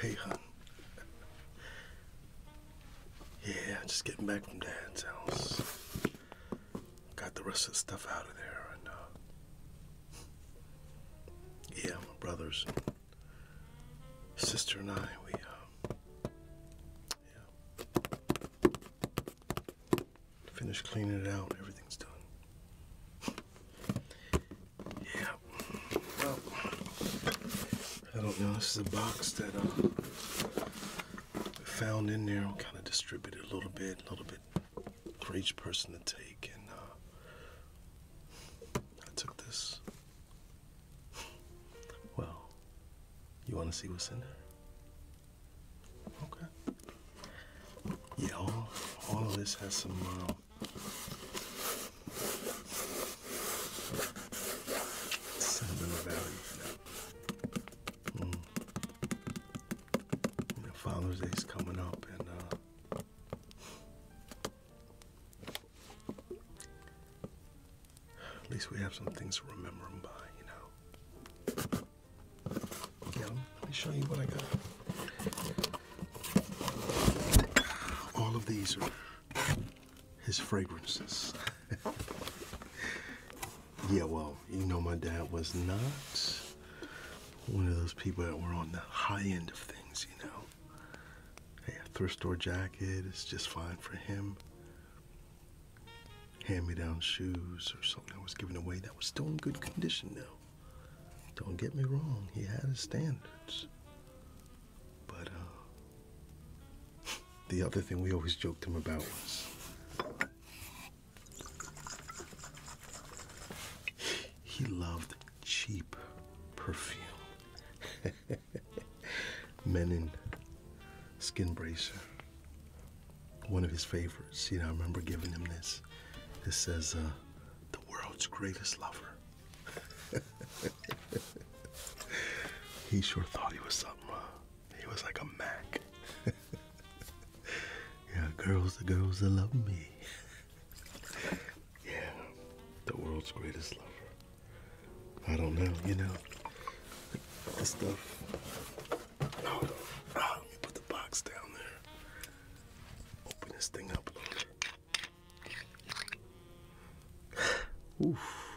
hey, hun. Yeah, just getting back from Dad's house. Got the rest of the stuff out of there, and uh, yeah, my brothers, sister, and I, we uh, finished cleaning it out. Everything's done. Yeah. Well, I don't know. This is a box that uh, I found in there. i kind of distributed a little bit, a little bit for each person to take. And uh, I took this. Well, you want to see what's in there? Okay. Yeah, all, all of this has some. Uh, Mm. Father's Day is coming up, and uh, at least we have some things to remember him by, you know let me show you what I got. All of these are his fragrances. yeah, well, you know, my dad was not one of those people that were on the high end of things, you know. a thrift store jacket is just fine for him. Hand me down shoes or something I was giving away that was still in good condition now. Don't get me wrong, he had his standards. But uh, the other thing we always joked him about was he loved cheap perfume. Men in skin bracer. One of his favorites. You know, I remember giving him this. This says, uh, the world's greatest lover. he sure thought he was something. he was like a Mac. yeah, girls, the girls that love me. yeah, the world's greatest lover. I don't know, you know. This stuff. Oh, oh, put the box down there. Open this thing up Oof.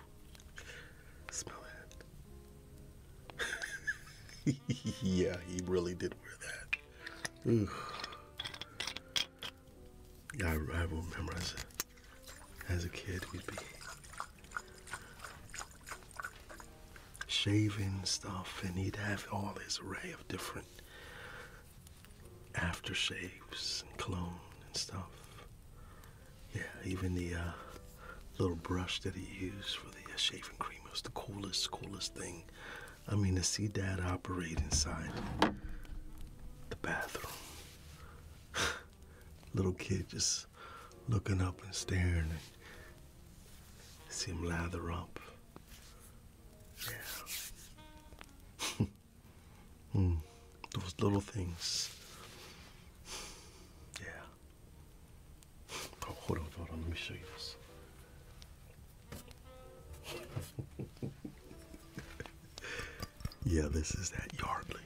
Smell that. yeah, he really did wear that. Yeah, I, will memorize it. As a kid, we'd be shaving stuff, and he'd have all his array of different after shaves and cologne and stuff. Yeah, even the uh, little brush that he used for the uh, shaving cream was the coolest, coolest thing. I mean, to see Dad operate inside the bathroom. little kid just looking up and staring and see him lather up yeah. mm, those little things. Yeah. Oh, hold on, hold on. Let me show you this. yeah, this is that Yardley.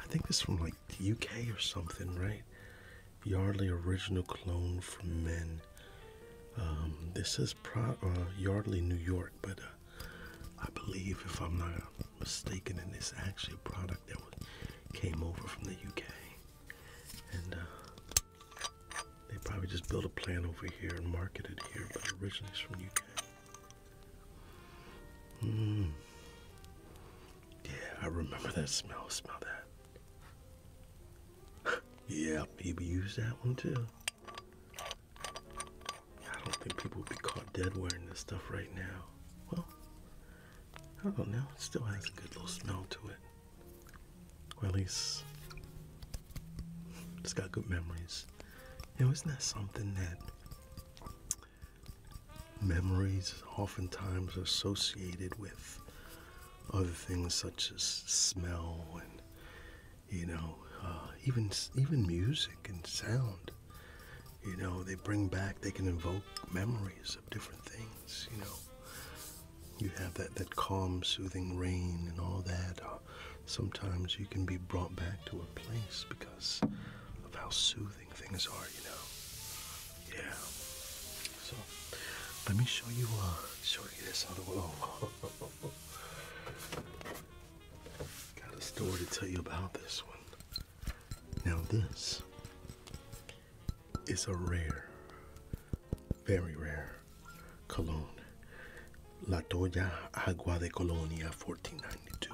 I think this is from like the UK or something, right? Yardley original clone for men. Um, this is uh, Yardley, New York, but uh, I believe, if I'm not mistaken, and it's actually a product that came over from the UK, and uh, they probably just built a plant over here and marketed it here, but originally it's from UK. Hmm. Yeah, I remember that smell. Smell that yeah, people use that one too. I don't think people would be caught dead wearing this stuff right now. Well, I don't know. It still has a good little smell to it. Or at least it's got good memories. You know, isn't that something that memories oftentimes are associated with other things such as smell and you know uh, even even music and sound you know they bring back they can evoke memories of different things you know you have that that calm soothing rain and all that uh, sometimes you can be brought back to a place because of how soothing things are you know yeah so let me show you uh show you this other one Got a story to tell you about this one. Now, this is a rare, very rare cologne. La Toya Agua de Colonia 1492.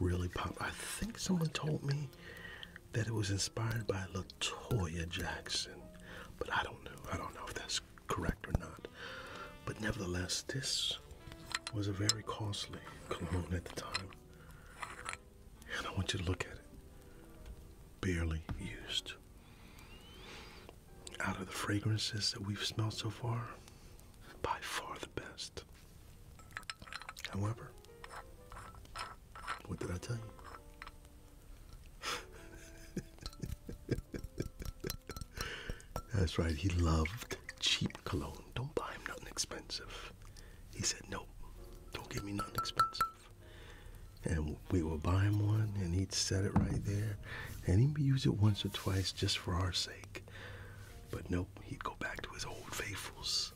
Really pop. I think someone told me that it was inspired by Latoya Jackson, but I don't know. I don't know if that's correct or not. But nevertheless, this was a very costly cologne at the time. And I want you to look at it. Barely used. Out of the fragrances that we've smelled so far, by far the best. However, what did I tell you? That's right, he loved cheap cologne. Don't buy him nothing expensive. He said, Nope, don't give me nothing expensive. And we were buying one, and he'd set it right there, and he'd use it once or twice just for our sake. But nope, he'd go back to his old faithfuls.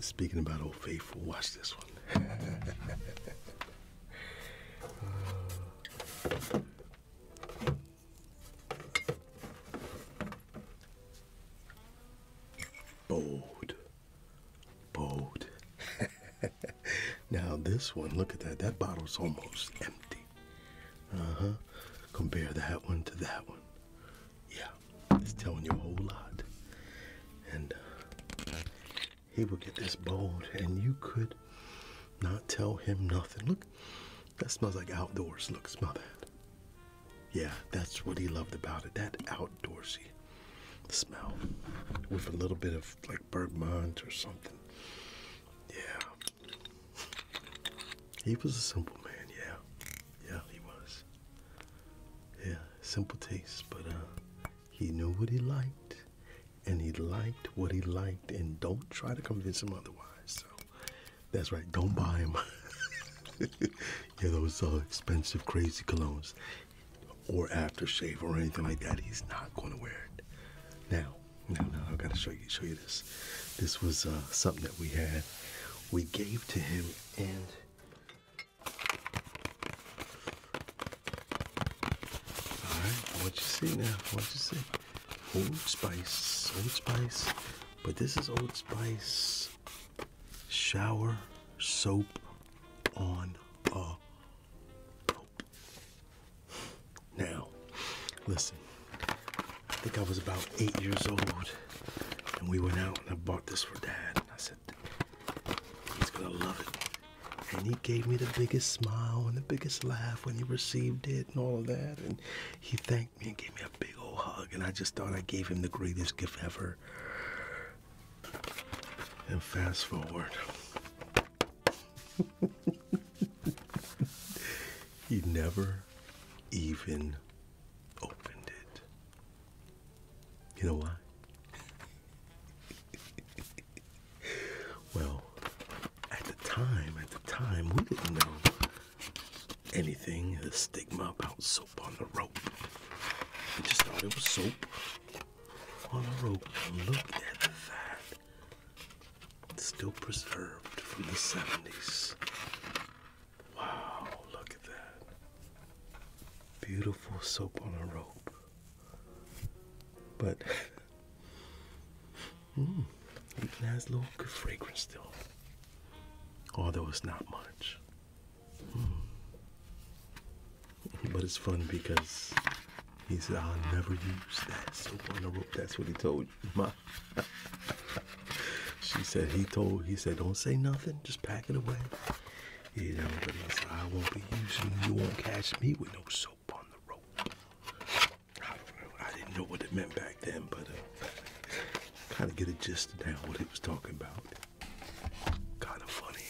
speaking about old faithful, watch this one. bold. Bold. now, this one, look at that. That bottle's almost empty. Uh huh. Compare that one to that one. Yeah, it's telling you a whole lot. And uh, he would get this bold and you could not tell him nothing. Look, that smells like outdoors. Look, smell that. Yeah, that's what he loved about it. That outdoorsy smell with a little bit of like bergamot or something. Yeah. He was a simple man, yeah. Yeah, he was. Yeah, simple taste, but uh he knew what he liked, and he liked what he liked, and don't try to convince him otherwise. So that's right, don't buy him. yeah, those uh, expensive, crazy colognes or aftershave or anything like that. He's not going to wear it. Now, now, now, I've got to show you, show you this. This was uh, something that we had. We gave to him, and all right, what you see now? What you see? Old Spice, Old Spice, but this is Old Spice shower soap on a rope. Now, listen. I think I was about eight years old, and we went out and I bought this for Dad. I said, he's gonna love it. And he gave me the biggest smile and the biggest laugh when he received it and all of that. And he thanked me and gave me a big old hug. And I just thought I gave him the greatest gift ever. And fast forward. he never even opened it. You know why? well, at the time, at the time, we didn't know anything, the stigma about soap on the rope. We just thought it was soap on the rope. Look at that. still preserved from the 70s. Wow, look at that. Beautiful soap on a rope. But mm, it has a little good fragrance still, although it's not much. Mm. But it's fun because he said, "I'll never use that soap on the rope." That's what he told my. she said he told he said, "Don't say nothing. Just pack it away." You know, but I won't be using. You won't catch me with no soap on the road. I didn't know what it meant back then, but uh, kind of get a gist now what he was talking about. Kind of funny,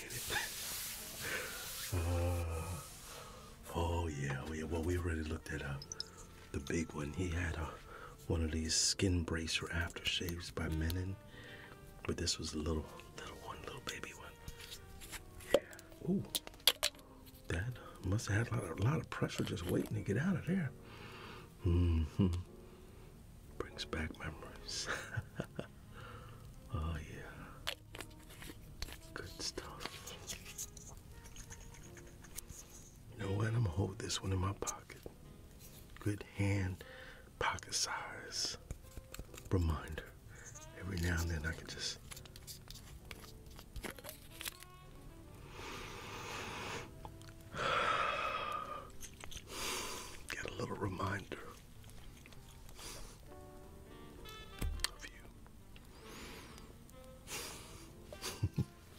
ain't it? Uh, oh yeah, we, oh, well we already looked at uh, the big one. He had uh, one of these skin bracer aftershaves by Menon, but this was a little, little one, little baby one. Ooh, that must have had a lot, of pressure just waiting to get out of there. hmm Brings back memories. oh, yeah. Good stuff. You know what? I'm going to hold this one in my pocket. Good hand, pocket size reminder. Every now and then I can just get a little reminder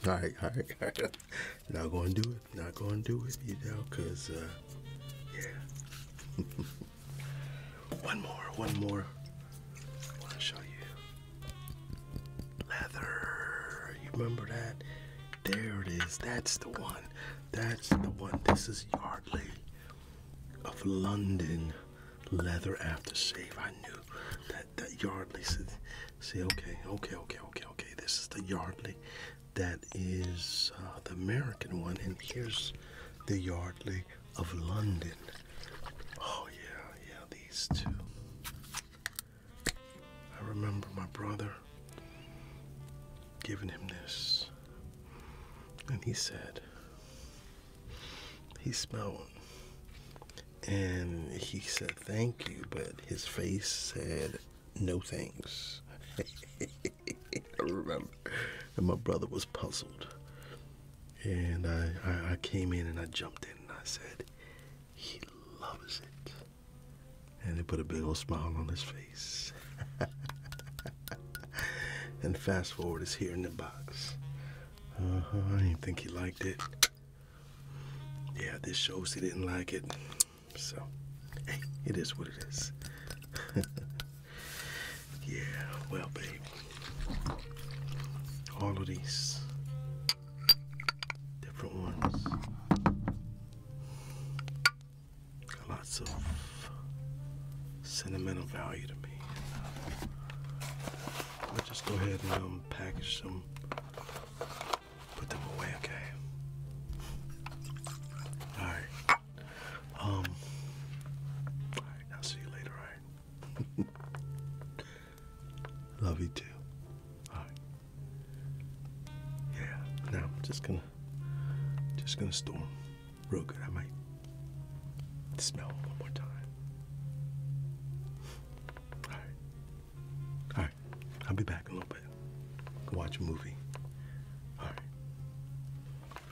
all right, all right, Not gonna do it. Not gonna do it, you know, cause uh, yeah. One more, one more. I want to show you. Leather. You remember that? There it is. That's the one. That's the one. This is Yardley of London leather after aftershave. I knew that that Yardley. See, okay, okay, okay, okay, okay. This is the Yardley. That is uh, the American one, and here's the Yardley of London. Oh, yeah, yeah, these two. I remember my brother giving him this, and he said he smelled and he said thank you, but his face said no thanks. and my brother was puzzled. And I, I, came in and I jumped in and I said, He loves it. And he put a big old smile on his face. and fast forward is here in the box. Uh-huh, I didn't think he liked it. Yeah, this shows he didn't like it. So, it is what it is. Yeah, well, baby, all of these different ones got lots of sentimental value to me. I'll just go ahead and um, package them, put them away, okay? Alright. Um, alright, I'll see you later, alright? Love you too. Yeah. Now I'm just gonna, just gonna storm, real good. I might smell one more time. All right. All right. I'll be back in a little bit. Go watch a movie. All right.